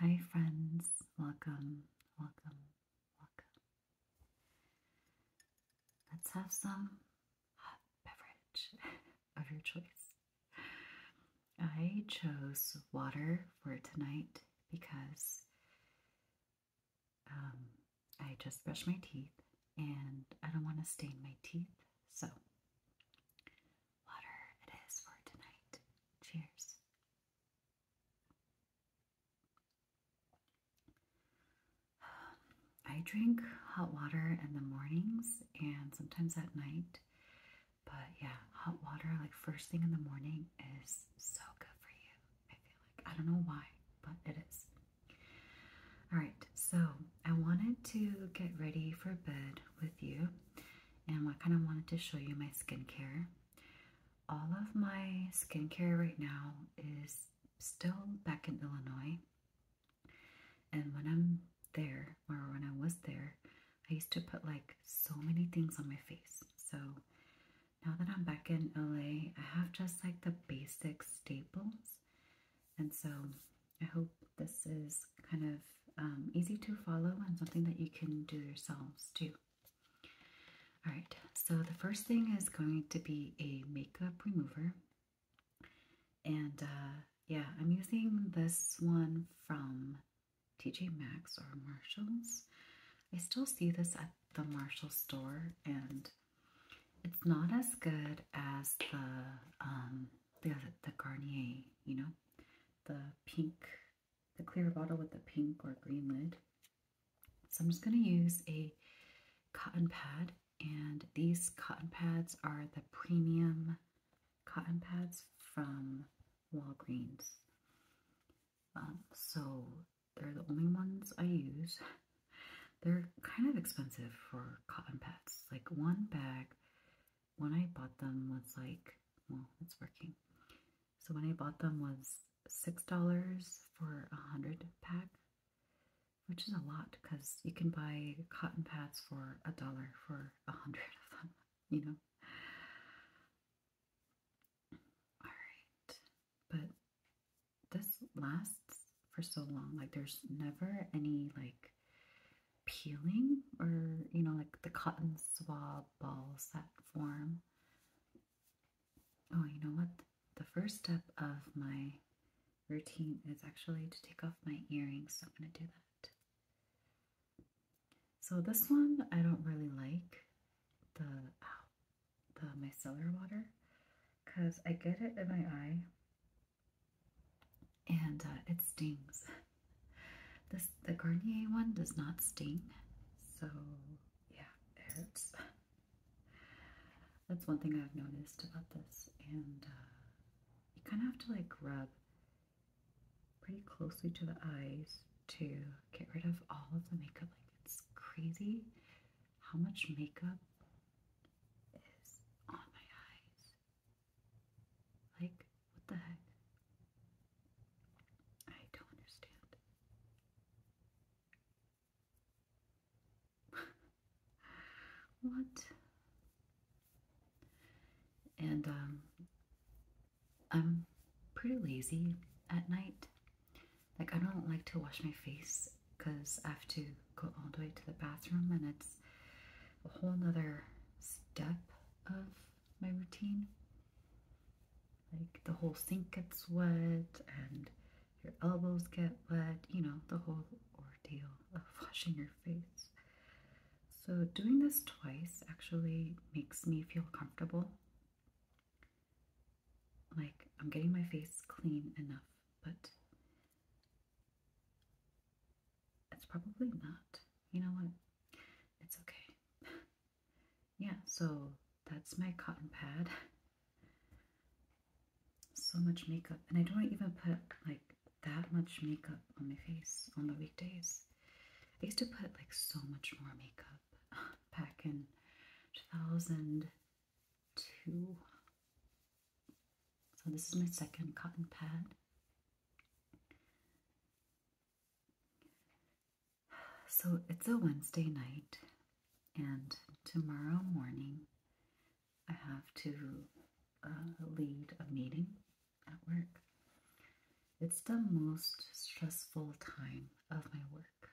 Hi, friends. Welcome, welcome, welcome. Let's have some hot beverage of your choice. I chose water for tonight because um, I just brushed my teeth and I don't want to stain my teeth. So water it is for tonight. Cheers. I drink hot water in the mornings and sometimes at night. But yeah, hot water, like first thing in the morning, is so good for you. I feel like I don't know why, but it is. All right, so I wanted to get ready for bed with you and I kind of wanted to show you my skincare. All of my skincare right now is still back in Illinois. And when I'm there, or when I was there, I used to put like so many things on my face. So now that I'm back in LA, I have just like the basic staples. And so I hope this is kind of um, easy to follow and something that you can do yourselves too. Alright, so the first thing is going to be a makeup remover. And uh, yeah, I'm using this one from TJ Maxx or Marshalls. I still see this at the Marshalls store and it's not as good as the um, the the Garnier, you know the pink, the clear bottle with the pink or green lid. So I'm just going to use a cotton pad and these cotton pads are the premium cotton pads from Walgreens. Um, so they're the only ones I use. They're kind of expensive for cotton pads. Like one bag when I bought them was like, well, it's working. So when I bought them was $6 for a 100 pack, which is a lot because you can buy cotton pads for a dollar for a 100 of them, you know? All right. But this lasts for so long. Like there's never any like peeling or you know like the cotton swab ball set form oh you know what the first step of my routine is actually to take off my earrings so i'm going to do that so this one i don't really like the ow, the micellar water because i get it in my eye and uh, it stings. This the Garnier one does not sting, so yeah, it hurts. That's one thing I've noticed about this, and uh, you kind of have to like rub pretty closely to the eyes to get rid of all of the makeup. Like it's crazy how much makeup is on my eyes like, what the heck? I don't understand. what? And, um, I'm pretty lazy at night. Like, I don't like to wash my face because I have to go all the way to the bathroom and it's a whole nother step of my routine. Like the whole sink gets wet and your elbows get wet, you know, the whole ordeal of washing your face. So doing this twice actually makes me feel comfortable. Like I'm getting my face clean enough, but it's probably not. You know what? It's okay. yeah, so that's my cotton pad. So much makeup, and I don't even put like that much makeup on my face on the weekdays. I used to put like so much more makeup back in 2002. So this is my second cotton pad. So it's a Wednesday night, and tomorrow morning I have to uh, lead a meeting at work. It's the most stressful time of my work.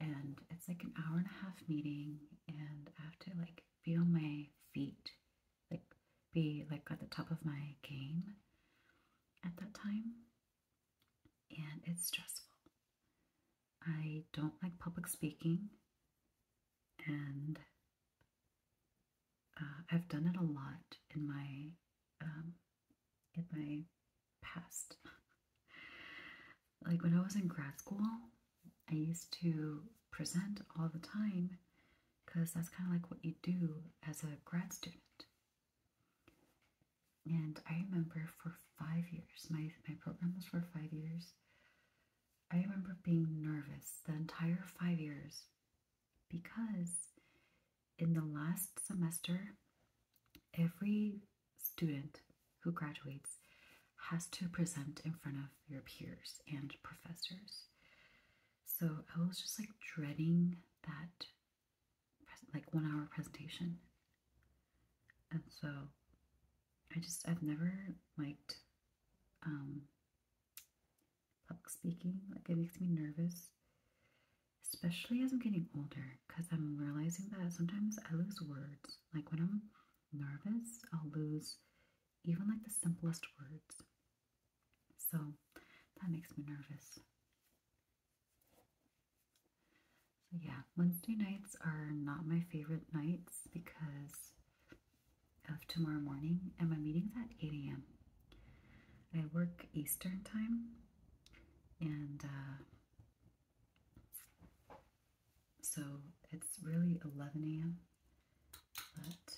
And it's like an hour and a half meeting, and I have to like be on my feet like be like at the top of my game at that time. And it's stressful. I don't like public speaking, and uh, I've done it a lot in my um, in my past. like when I was in grad school, I used to present all the time because that's kind of like what you do as a grad student. And I remember for five years, my, my program was for five years. I remember being nervous the entire five years because in the last semester, every student who graduates has to present in front of your peers and professors. So I was just like dreading that like one hour presentation. And so I just I've never liked um public speaking. Like it makes me nervous. Especially as I'm getting older, because I'm realizing that sometimes I lose words. Like when I'm nervous, I'll lose even like the simplest words. So that makes me nervous. So, yeah, Wednesday nights are not my favorite nights because of tomorrow morning, and my meeting's at 8 a.m. I work Eastern time, and uh, so it's really 11 a.m., but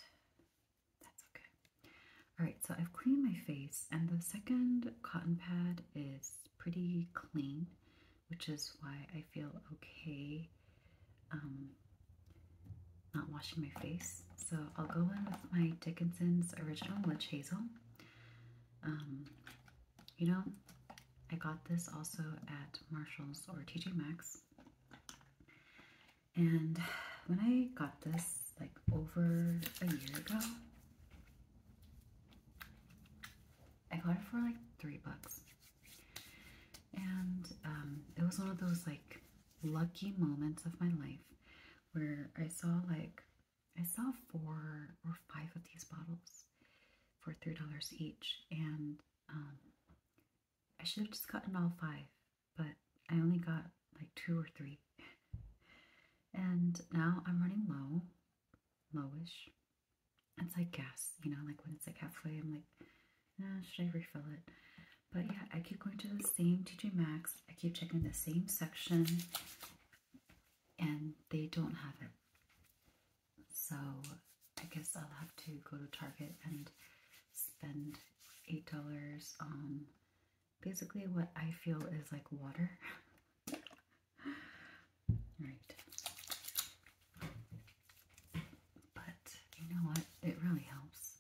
that's okay. All right, so I've cleaned my face, and the second cotton pad is pretty clean, which is why I feel okay um, not washing my face. So I'll go in with my Dickinson's Original Witch Hazel. Um, you know, I got this also at Marshall's or TJ Maxx. And when I got this, like over a year ago, I got it for like three bucks. And um, it was one of those like lucky moments of my life where I saw like, I saw four or five of these bottles for $3 each. And um, I should have just gotten all five, but I only got like two or three. and now I'm running low, lowish. It's like gas, you know, like when it's like halfway, I'm like, nah, should I refill it? But yeah, I keep going to the same TJ Max. I keep checking the same section and they don't have it. So I guess I'll have to go to Target and spend $8 on basically what I feel is like water. right. But you know what? It really helps.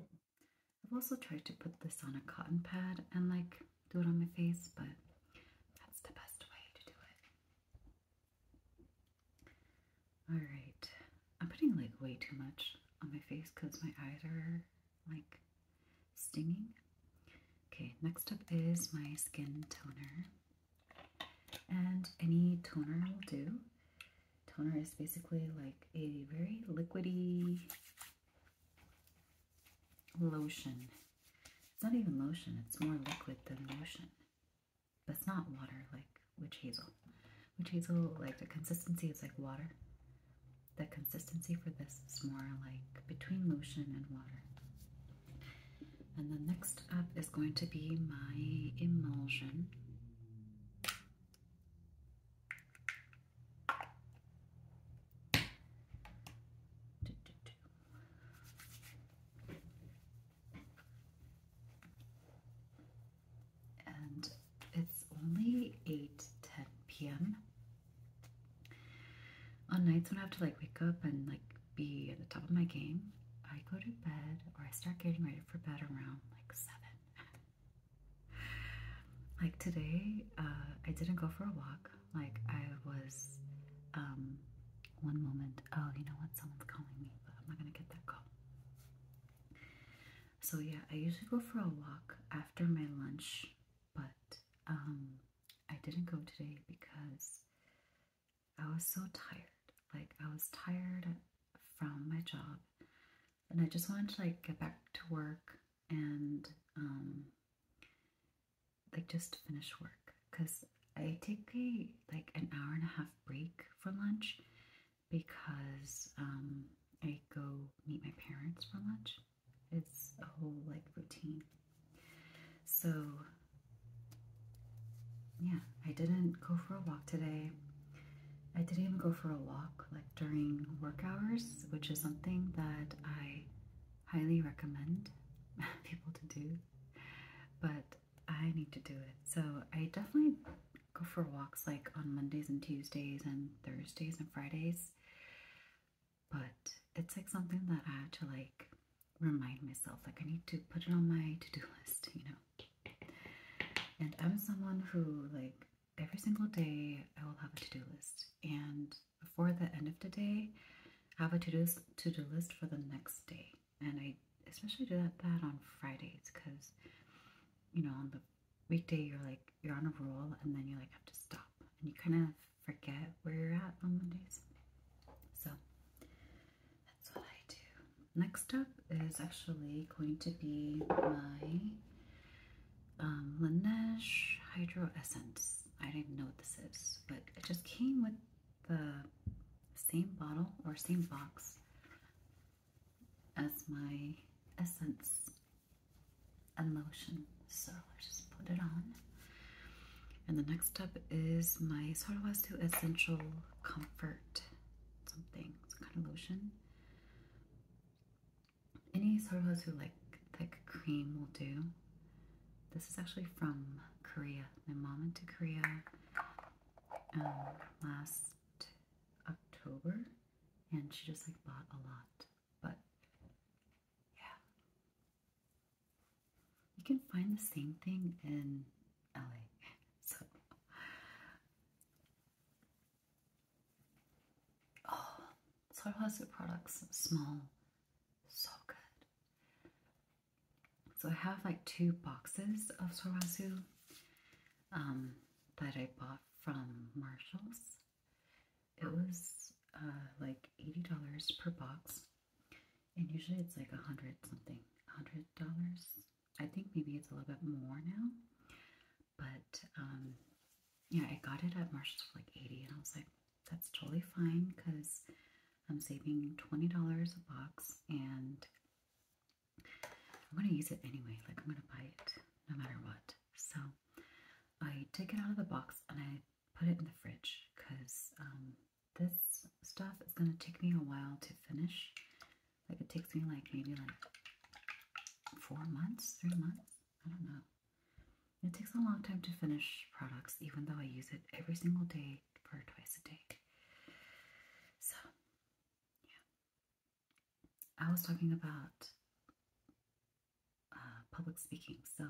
I've also tried to put this on a cotton pad and like do it on my face, but that's the best way to do it. Alright. I'm putting like way too much on my face because my eyes are like stinging. Okay, next up is my skin toner. And any toner will do. Toner is basically like a very liquidy lotion. It's not even lotion, it's more liquid than lotion. But it's not water like witch hazel. Witch hazel, like the consistency is like water. The consistency for this is more like between lotion and water. And then next up is going to be my emulsion. And it's only eight ten p.m. On nights when I have to like wake up and like be at the top of my game, I go to bed or I start getting ready for bed around like 7. like today, uh, I didn't go for a walk. Like I was um, one moment, oh you know what, someone's calling me, but I'm not gonna get that call. So yeah, I usually go for a walk after my lunch, but um, I didn't go today because I was so tired. Like I was tired from my job and I just wanted to like get back to work and um, like just finish work because I take a like an hour and a half break for lunch because um, I go meet my parents for lunch. It's a whole like routine. So yeah, I didn't go for a walk today. I didn't even go for a walk like during work hours, which is something that I highly recommend people to do, but I need to do it. So I definitely go for walks like on Mondays and Tuesdays and Thursdays and Fridays. But it's like something that I have to like remind myself, like I need to put it on my to-do list, you know. And I'm someone who like every single day I will have a to-do list and before the end of the day, have a to-do to do list for the next day. And I especially do that, on Fridays because, you know, on the weekday, you're like, you're on a roll and then you like have to stop and you kind of forget where you're at on Mondays. So that's what I do. Next up is actually going to be my um, Laneige Hydro Essence. I don't even know what this is, but it just came with the same bottle or same box as my essence and lotion. So I just put it on. And the next step is my Sorowastu Essential Comfort something, some kind of lotion. Any Sorowastu like thick cream will do. This is actually from Korea. My mom went to Korea um, last October and she just like bought a lot. But yeah. You can find the same thing in LA. So oh so products smell so good. So I have like two boxes of Sorazu um, that I bought from Marshalls. It was uh, like $80 per box. And usually it's like a hundred something, hundred dollars. I think maybe it's a little bit more now. But um, yeah, I got it at Marshalls for like 80 and I was like, that's totally fine because I'm saving $20 a box and I'm going to use it anyway. Like, I'm going to buy it no matter what. So, I take it out of the box and I put it in the fridge because um, this stuff is going to take me a while to finish. Like, it takes me like maybe like four months, three months. I don't know. It takes a long time to finish products, even though I use it every single day for twice a day. So, yeah. I was talking about uh, public speaking, so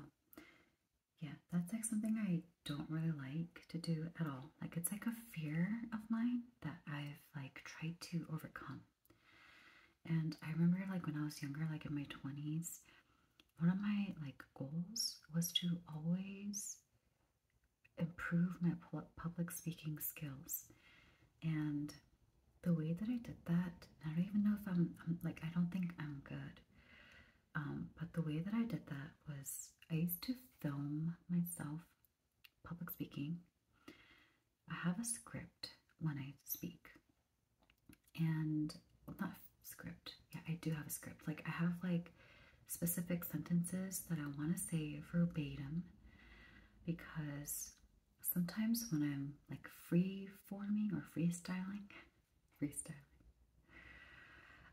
yeah, that's like something I don't really like to do at all. Like, it's like a fear of mine that I've like tried to overcome. And I remember, like, when I was younger, like in my 20s, one of my like goals was to always improve my public speaking skills and the way that I did that I don't even know if I'm, like I don't think I'm good um, but the way that I did that was I used to film myself public speaking I have a script when I speak and not script. Yeah, I do have a script. Like I have like specific sentences that I want to say verbatim because sometimes when I'm like free forming or freestyling, freestyling,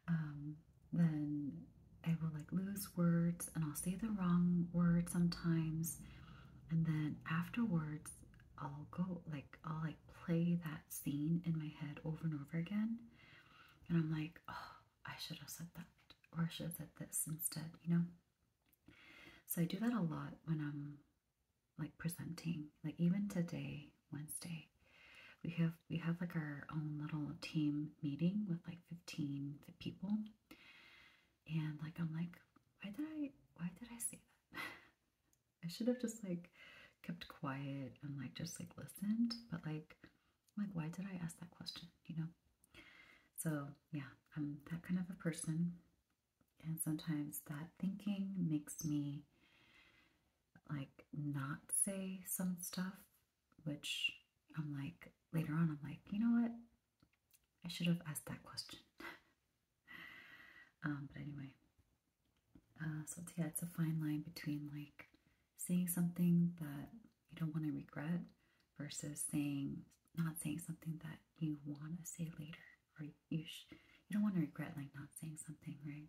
um, then I will like lose words and I'll say the wrong word sometimes. And then afterwards, I'll go like, I'll like play that scene in my head over and over again. And I'm like, oh, I should have said that, or I should have said this instead, you know? So I do that a lot when I'm like presenting. Like even today, Wednesday, we have we have like our own little team meeting with like 15 people. And like I'm like, why did I why did I say that? I should have just like kept quiet and like just like listened, but like like why did I ask that question, you know? So, yeah, I'm that kind of a person. And sometimes that thinking makes me like not say some stuff, which I'm like later on I'm like, you know what? I should have asked that question. um, but anyway, uh, so yeah, it's a fine line between like saying something that you don't want to regret versus saying not saying something that you want to say later, or you you don't want to regret like not saying something, right?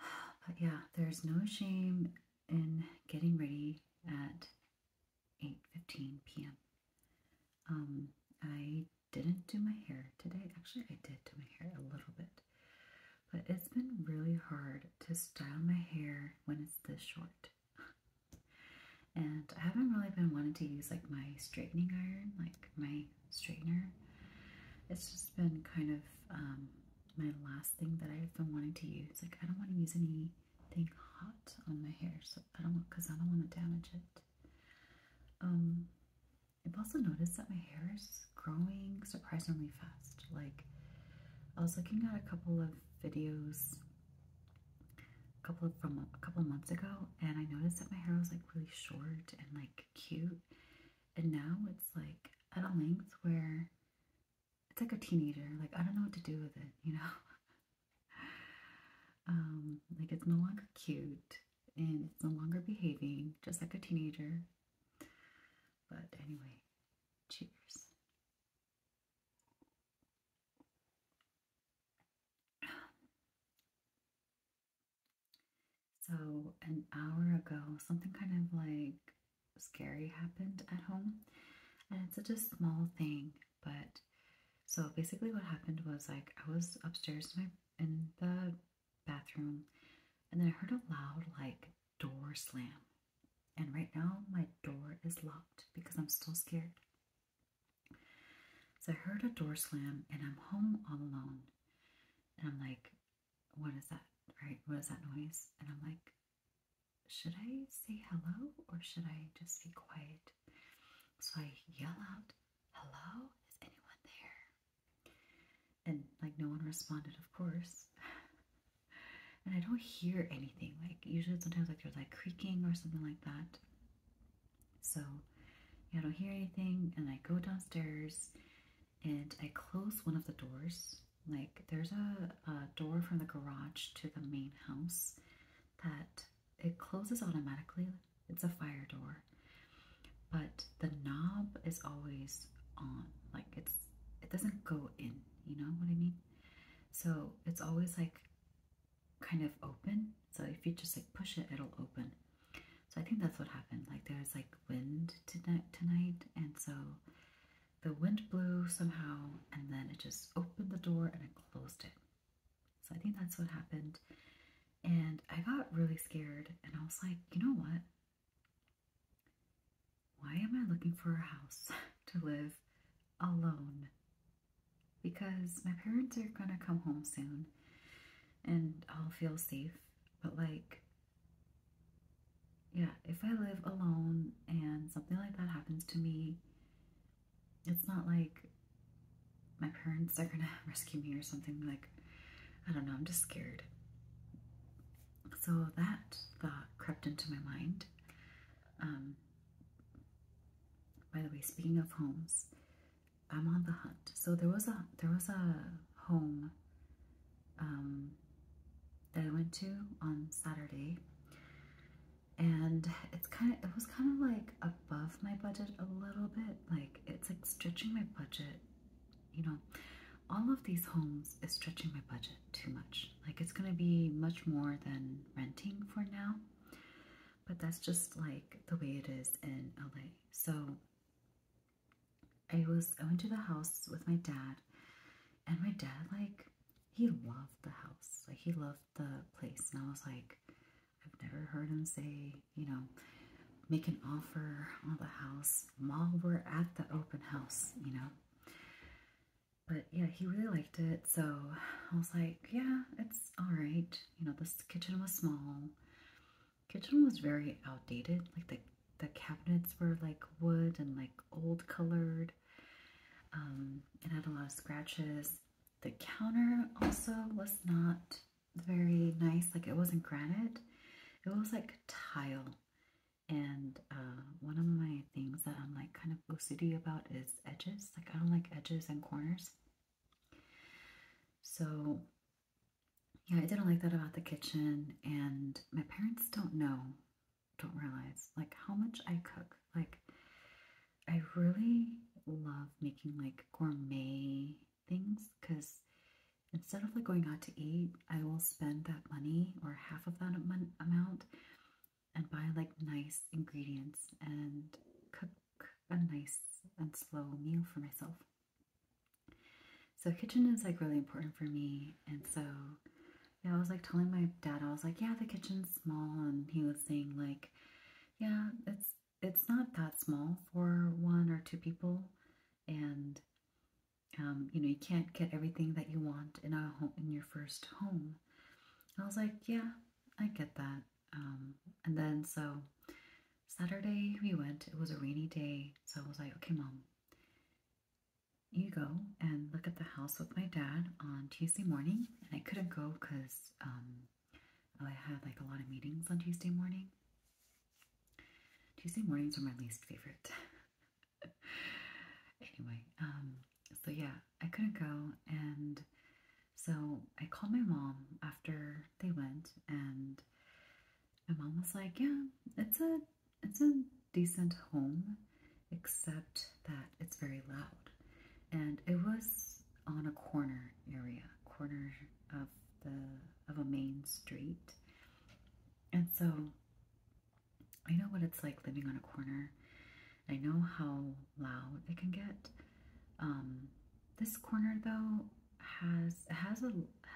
But yeah, there's no shame in getting ready at 8.15 p.m. Um, I didn't do my hair today. Actually, I did do my hair a little bit. But it's been really hard to style my hair when it's this short. and I haven't really been wanting to use like my straightening iron, like my straightener. It's just been kind of um, my last thing that I've been wanting to use. Like I don't want to use anything hot on my hair, so I don't want because I don't want to damage it. Um, I've also noticed that my hair is growing surprisingly fast. Like, I was looking at a couple of videos a couple from a couple of months ago, and I noticed that my hair was like really short and like cute, and now it's like at a length where it's like a teenager. Like, I don't know what to do with it, you know? Um, like it's no longer cute and it's no longer behaving just like a teenager. But anyway, cheers. So, an hour ago, something kind of like scary happened at home. And it's such a small thing. But so basically, what happened was like I was upstairs in, the bathroom, and then I heard a loud like door slam. And right now, my door is locked because I'm still scared. So I heard a door slam, and I'm home all alone. And I'm like, what is that? Right? What is that noise? And I'm like, should I say hello or should I just be quiet? So I yell out, Hello, is anyone there? And like no one responded, of course. and I don't hear anything. Like usually sometimes like there's like creaking or something like that. So I don't hear anything and I go downstairs and I close one of the doors. Like there's a door from the garage to the main house that it closes automatically. It's a fire door, but the knob is always on. Like it's it doesn't go in. You know what I mean? So it's always like kind of open. So if you just like push it, it'll open. So I think that's what happened. Like there's like wind tonight, tonight, and so the wind blew somehow, and then it just opened the door and it closed it. So I think that's what happened. And I got really scared and I was like, you know what? Why am I looking for a house to live alone? Because my parents are going to come home soon and I'll feel safe. But like, yeah, if I live alone and something like that happens to me, it's not like my parents are gonna rescue me or something. Like, I don't know, I'm just scared. So that thought crept into my mind. Um, by the way, speaking of homes, I'm on the hunt. So there was a there was a home um, that I went to on Saturday, and it's kind of it was kind of like above my budget a little bit like it's like stretching my budget you know all of these homes is stretching my budget too much like it's gonna be much more than renting for now but that's just like the way it is in LA so I was I went to the house with my dad and my dad like he loved the house. Like he loved the place. And I was like, I've never heard him say, you know, make an offer on the house while we're at the open house, you know. But yeah, he really liked it. So I was like, yeah, it's all right. You know, this kitchen was small. Kitchen was very outdated. Like the the cabinets were like wood and like old colored um, it had a lot of scratches the counter also was not very nice, like it wasn't granite, it was like tile. And uh, one of my things that I'm like kind of OCD about is edges. Like I don't like edges and corners. So yeah, I didn't like that about the kitchen. And my parents don't know, don't realize like how much I cook. Like I really love making like gourmet things because instead of like going out to eat, I will spend that money or half of that amount and buy like nice ingredients and cook a nice and slow meal for myself. So kitchen is like really important for me. And so yeah, I was like telling my dad, I was like, yeah, the kitchen's small. And he was saying like, yeah, it's it's not that small for one or two people, and um, you know you can't get everything that you want in a home in your first home. I was like, yeah, I get that. Um, and then so Saturday we went. It was a rainy day, so I was like, okay, mom, you go and look at the house with my dad on Tuesday morning and I couldn't go because um, I had like a lot of meetings on Tuesday morning. Tuesday mornings are my least favorite. anyway, um, so yeah, I couldn't go, and so I called my mom after they went, and my mom was like, "Yeah, it's a it's a decent home except that it's very loud. And it was on a corner area, corner of the of a main street. And so I know what it's like living on a corner. I know how loud it can get. Um, this corner though has has a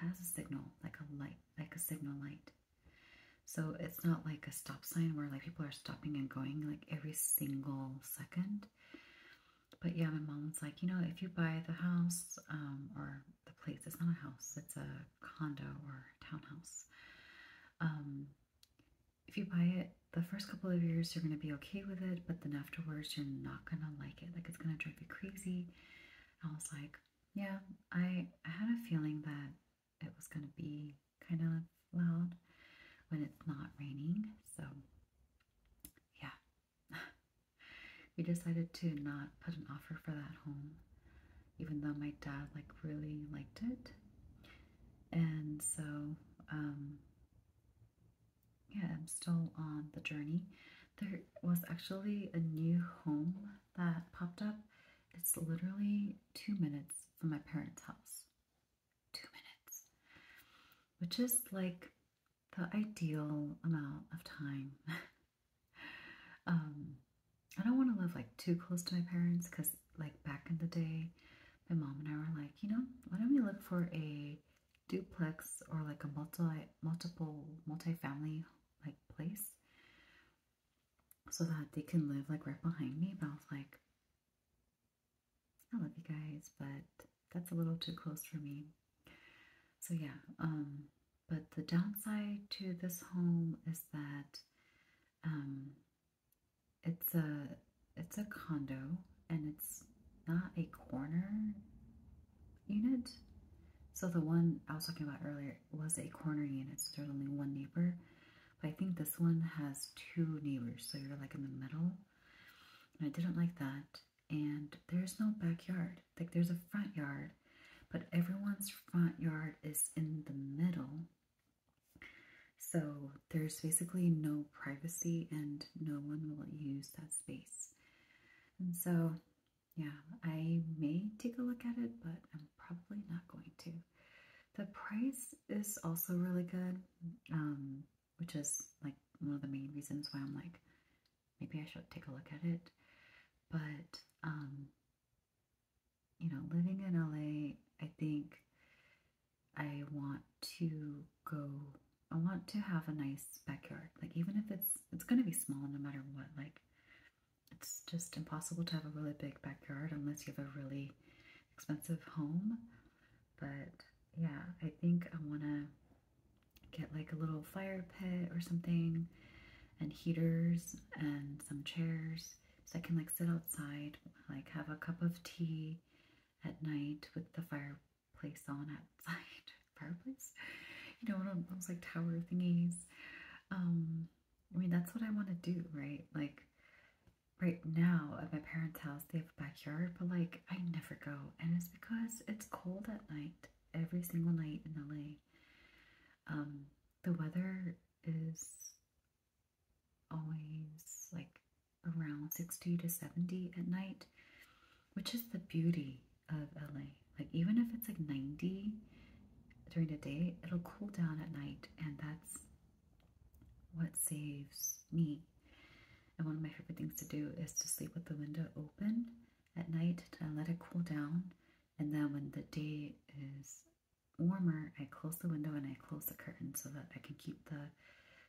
has a signal like a light like a signal light. So it it's not like a stop sign where like people are stopping and going like every single second. But yeah, my mom was like, you know, if you buy the house um, or the place, it's not a house, it's a condo or townhouse. Um, if you buy it, the first couple of years you're going to be okay with it, but then afterwards you're not going to like it. Like it's going to drive you crazy. I was like, yeah, I had a feeling that it was going to be kind of loud when it's not raining. So, yeah. we decided to not put an offer for that home, even though my dad, like, really liked it. And so, um, yeah, I'm still on the journey. There was actually a new home that popped up. It's literally two minutes from my parents' house two minutes, which is like the ideal amount of time. um, I don't want to live like too close to my parents because, like, back in the day, my mom and I were like, you know, why don't we look for a duplex or like a multi multiple multi family like place so that they can live like right behind me. But I was like, I love you guys, but that's a little too close for me. So yeah, um, but the downside to this home is that um, it's a it's a condo and it's not a corner unit. So the one I was talking about earlier was a corner unit, so there's only one neighbor. But I think this one has two neighbors, so you're like in the middle. And I didn't like that. And there's no backyard. Like there's a front yard, but everyone's front yard is in the middle. So there's basically no privacy and no one will use that space. And so, yeah, I may take a look at it, but I'm probably not going to. The price is also really good, um, which is like one of the main reasons why I'm like, maybe I should take a look at it. But, um, you know, living in LA, I think I want to go, I want to have a nice backyard. Like, even if it's, it's going to be small no matter what. Like, it's just impossible to have a really big backyard unless you have a really expensive home. But yeah, I think I want to get like a little fire pit or something and heaters and some chairs so I can like sit outside, like have a cup of tea at night with the fireplace on outside. fireplace? You know, one of those like tower thingies. Um, I mean, that's what I want to do, right? Like, right now at my parents' house, they have a backyard, but like I never go. And it's because it's cold at night, every single night in LA. Um, the weather is always like around 60 to 70 at night, which is the beauty of LA. Like even if it's like 90 during the day, it'll cool down at night and that's what saves me? And one of my favorite things to do is to sleep with the window open at night to let it cool down. And then when the day is warmer, I close the window and I close the curtain so that I can keep the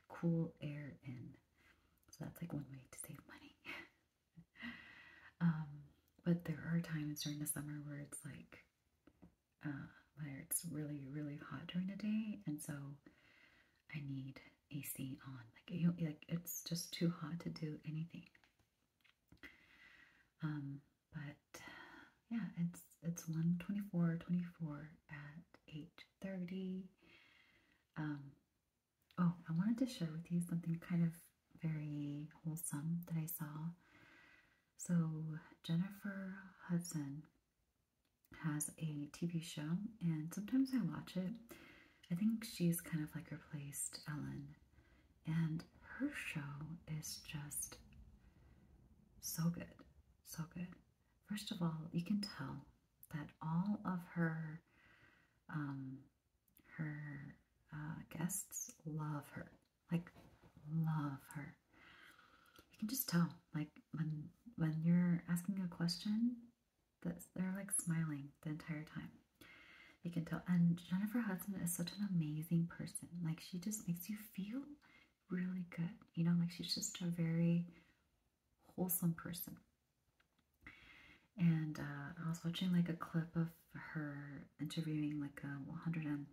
cool air in. So that's like one way to save money. Um, but there are times during the summer where it's like uh, it's really, really hot during the day, and so I need AC on. Like, you, like it's just too hot to do anything. Um, but yeah, it's it's 124 24 at 8:30. Um, oh, I wanted to share with you something kind of very wholesome that I saw so, Jennifer Hudson has a TV show, and sometimes I watch it. I think she's kind of like replaced Ellen, and her show is just so good. So good. First of all, you can tell that all of her um, her uh, guests love her. Like, love her. You can just tell, like, when when you're asking a question, that they're like smiling the entire time. You can tell. And Jennifer Hudson is such an amazing person. Like, she just makes you feel really good. You know, like she's just a very wholesome person. And uh, I was watching like a clip of her interviewing like a 100 and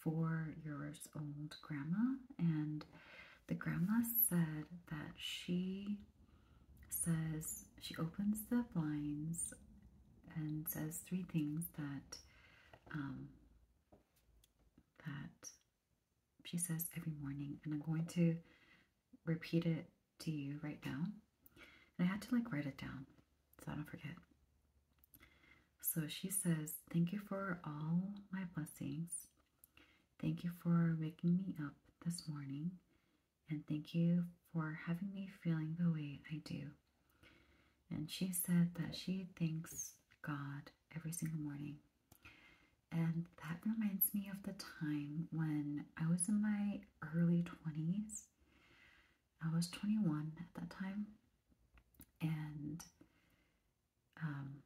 four years old grandma, and the grandma said that she says she opens the blinds and says three things that um, that she says every morning, and I'm going to repeat it to you right now. And I had to like write it down so I don't forget. So she says, Thank you for all my blessings. Thank you for waking me up this morning. And thank you for having me feeling the way I do. And she said that she thanks God every single morning. And that reminds me of the time when I was in my early 20s. I was 21 at that time and um,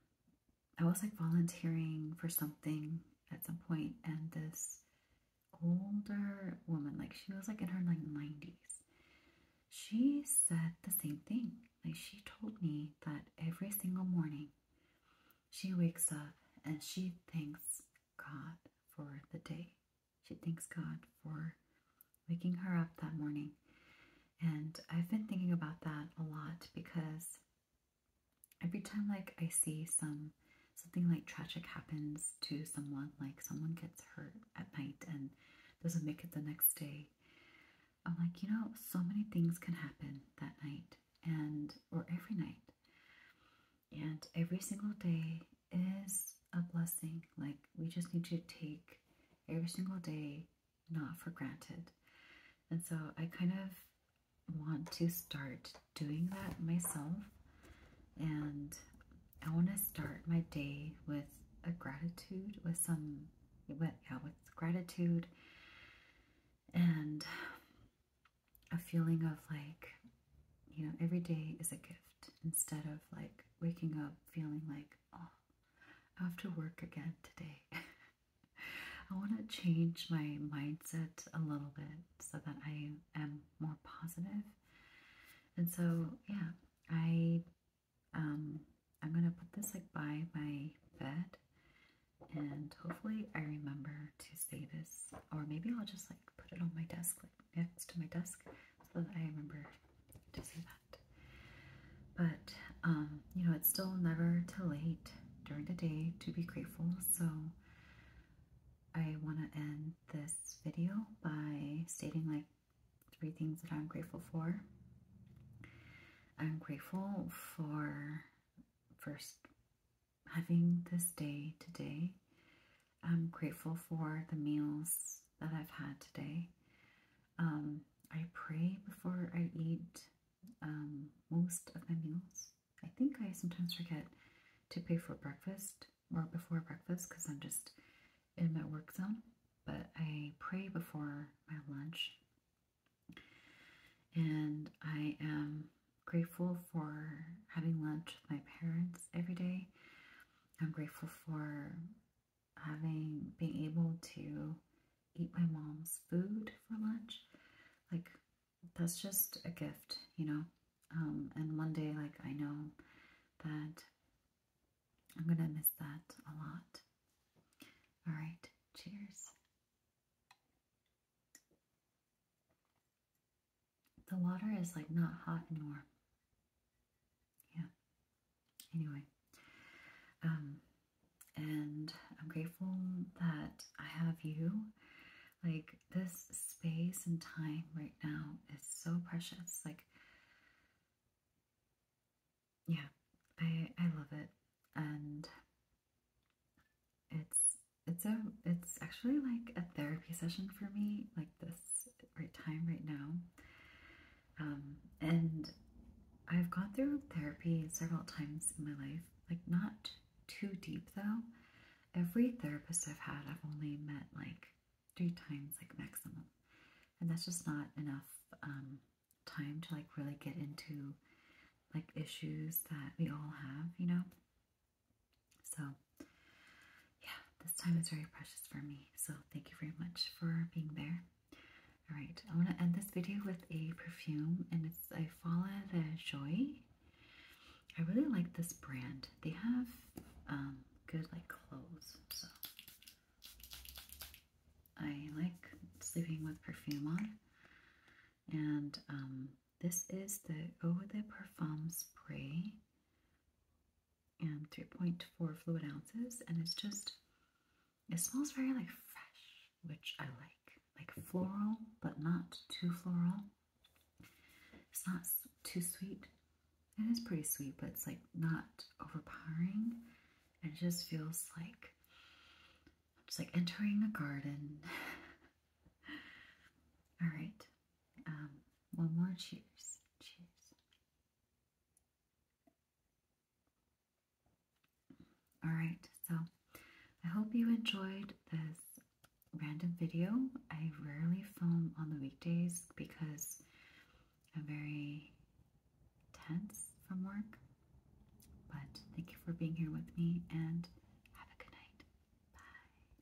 I was like volunteering for something at some point, and this older woman, like she was like in her like 90s, she said the same thing. Like she told me that every single morning she wakes up and she thanks God for the day. She thanks God for waking her up that morning. And I've been thinking about that a lot because every time like I see some something like tragic happens to someone, like someone gets hurt at night and doesn't make it the next day, I'm like, you know, so many things can happen that night and or every night. And every single day is a blessing. Like, we just need to take every single day not for granted. And so I kind of want to start doing that myself. And I want to start my day with a gratitude, with some, with, yeah, with gratitude and a feeling of like, you know, every day is a gift instead of like waking up feeling like, oh, I have to work again today. I want to change my mindset a little bit so that I am more positive. And so, yeah, I um, I'm going to put this like by my bed and hopefully I remember to say this or maybe I'll just like put it on my desk like next to my desk so that I remember to say that. But, um, you know, it's still never too late during the day to be grateful. So I want to end this video by stating like three things that I'm grateful for. I'm grateful for first having this day today. I'm grateful for the meals that I've had today. Um, I pray before I eat um, most of my meals. I think I sometimes forget to pray for breakfast or before breakfast because I'm just in my work zone. But I pray before my lunch. And I am grateful for having lunch with my parents every day. I'm grateful for having being able to eat my mom's food for lunch. Like that's just a gift, you know. Um, and one day, like I know that I'm gonna miss that a lot. All right, cheers. The water is like not hot and warm. Yeah. Anyway. Um, and I'm grateful that I have you. Like, this space and time right now is so precious. Like, yeah, I, I love it. And it's, it's a, it's actually like a therapy session for me. Like this right time right now. Um, and I've gone through therapy several times in my life, like not too deep though. Every therapist I've had, I've only met like three times, like maximum. And that's just not enough um, time to like really get into like issues that we all have, you know? So, yeah, this time is very precious for me. So, thank you very much for being there. All right, I want to end this video with a perfume, and it's I Fala the Joy. I really like this brand. They have um, good like clothes, so I like sleeping with perfume on. And um, this is the Eau de Parfum spray and 3.4 fluid ounces, and it's just it smells very like fresh, which I like, like floral, but not too floral. It's not too sweet. It is pretty sweet, but it's like not overpowering. And it just feels like it's like entering a garden. All right, um, one more cheers. Cheers. All right, so I hope you enjoyed this random video. I rarely film on the weekdays because I'm very tense from work. But thank you for being here with me and have a good night. Bye.